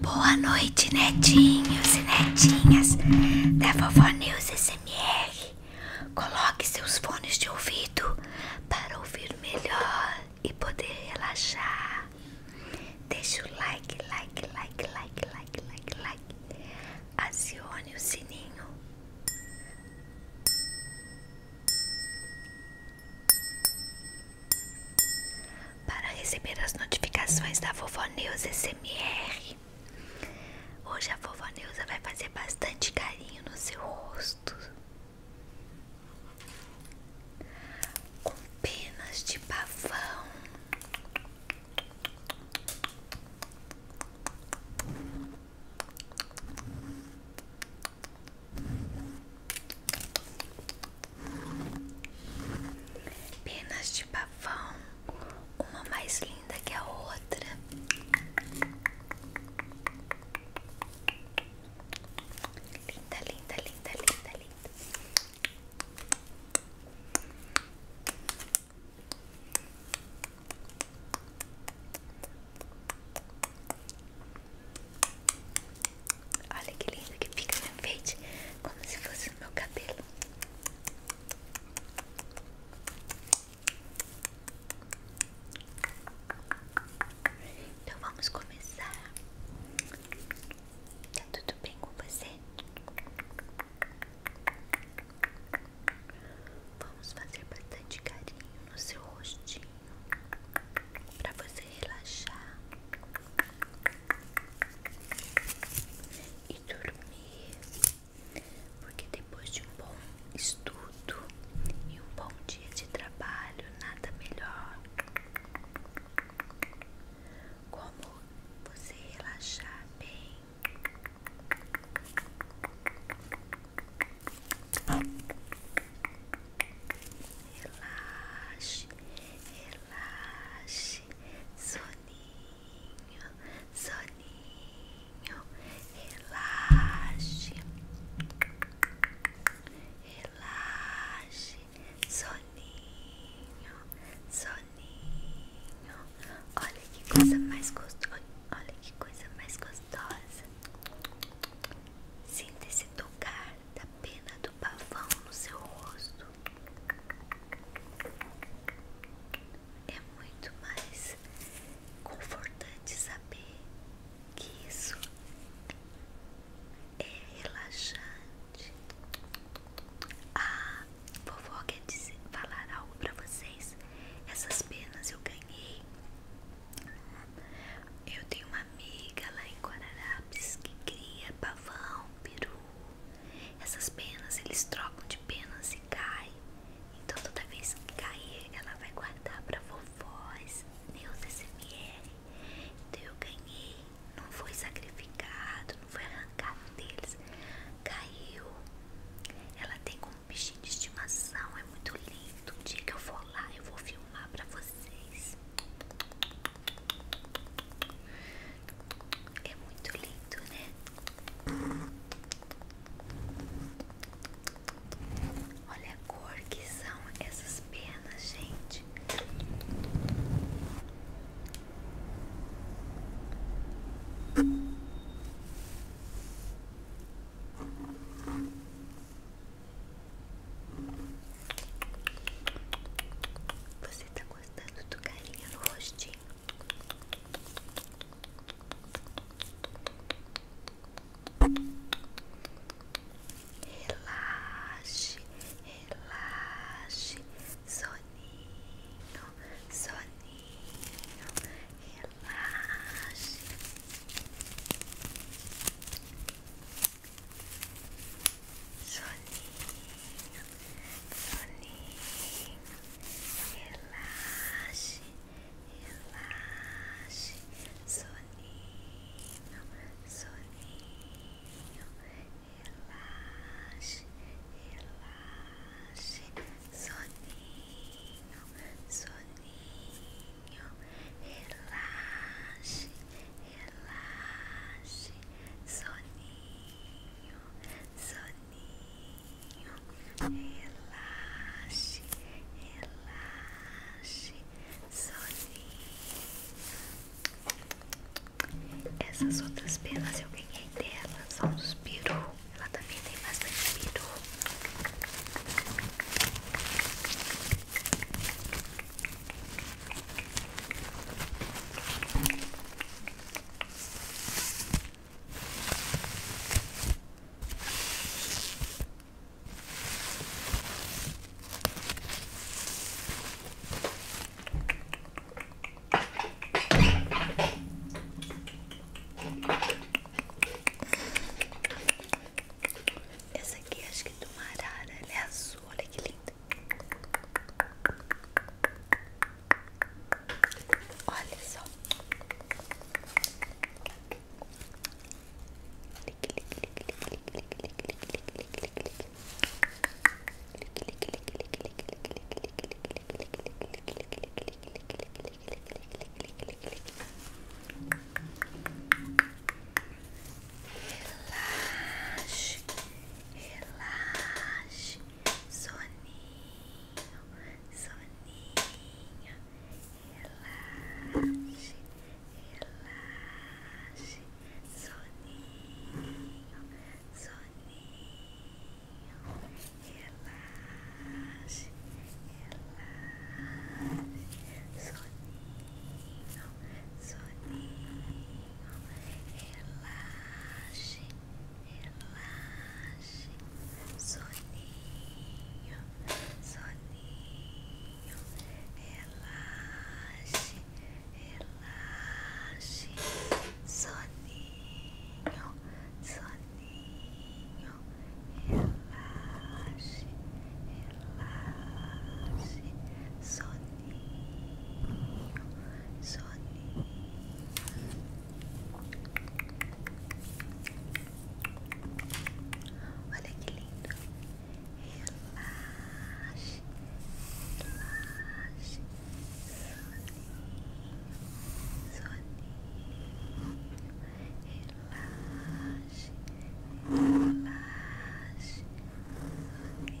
Boa noite, netinhos e netinhas da Vovó News SMR. Coloque seus fones de ouvido para ouvir melhor e poder relaxar. Deixe o like, like, like, like, like, like, like. Acione o sininho para receber as notificações da Vovó Neuza SMR. Hoje a Vovó Neuza vai fazer bastante carinho no seu rosto. Com penas de pavão. Penas de pavão, uma mais linda que a outra. Linda, linda, linda, linda, linda. Olha que lindo que fica na frente, como se fosse o meu cabelo. Então vamos começar. Tá tudo bem com você? Vamos fazer bastante carinho no seu rostinho para você relaxar e dormir, porque depois de um bom estudo e um bom dia de trabalho, nada melhor como você relaxar bem. Relaxe, relaxe, soninho, soninho, relaxe, relaxe, soninho, soninho. Olha que coisa mais gostosa, olha que coisa mais gostosa. Sinta esse tocar da pena do pavão no seu rosto é muito mais confortante saber que isso é relaxante. Ah, vovó quer falar algo pra vocês. Essas penas eu ganhei. Eu tenho uma amiga lá em Guararapes que cria pavão, peru, essas penas eles trocam de penas e caem. Então toda vez que cair, ela vai guardar pra vovós, meus é SMR. Então eu ganhei, não foi sacrificado, não foi arrancado deles. Caiu. Ela tem como bichinho de estimação, é muito lindo. O dia que eu for lá, eu vou filmar pra vocês. É muito lindo, né? Olha a cor que são essas penas, gente. Você tá gostando do carinho no rostinho. Relaxe, relaxe, soninho, soninho, relaxe soninho, soninho, relaxe, relaxe, soninho, soninho, relaxe, relaxe, soninho, soninho, relaxe, relaxe, soninho soninho, soninho, relaxe, relaxe, soninho. Essas outras pelas eu ganhei dela, são dos peru, ela também tem bastante peru. Essa aqui acho que é do uma arara, ela né? é azul, olha que linda. Olha só. Relaxe, relaxe, soninho, soninho, relaxe, relaxe, soninho, soninho, relaxe, relaxe, soninho, soninho. relaxe, relaxe, soninho, soninho, relaxe, relaxe, soninho, soninho, relaxe, relaxe, soninho. Soninho, Olha que lindo. Relaxe, relaxe, soninho, soninho. Relaxe, relaxe, soninho.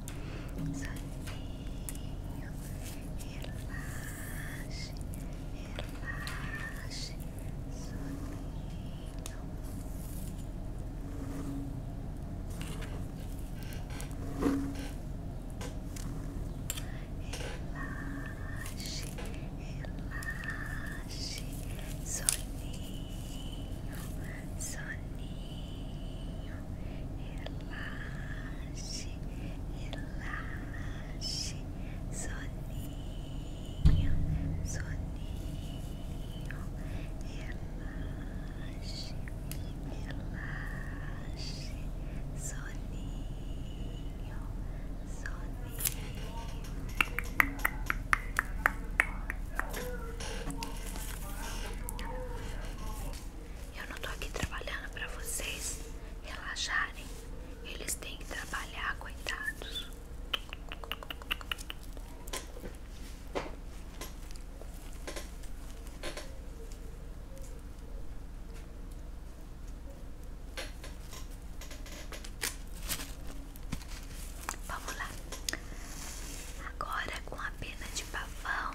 legal. Sozinho, relaxe, relaxe, sozinho. Relaxe, soninho soninho, relaxe, relaxe, soninho, soninho, relaxe, relaxe, soninho, soninho. Eu não tô aqui trabalhando para vocês relaxarem. Eles têm que trabalhar, coitados. Vamos lá. Agora com a pena de pavão,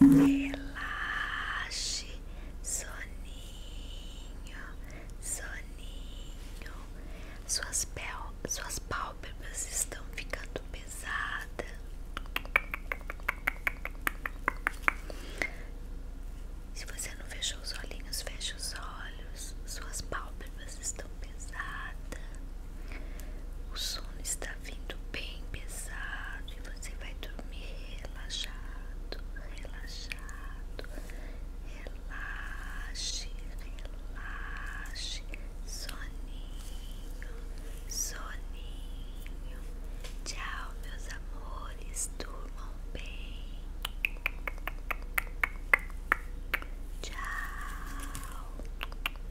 Relaxe, relaxe, soninho, soninho. Suas, pel suas pálpebras estão ficando pesadas. Se você não fechou os olhinhos, feche os olhos. Suas pálpebras estão pesadas. O sono está vindo bem pesado e você vai dormir relaxado, relaxado. Relaxe, relaxe. Soninho, soninho. Tchau, meus amores. Durmam bem. Tchau.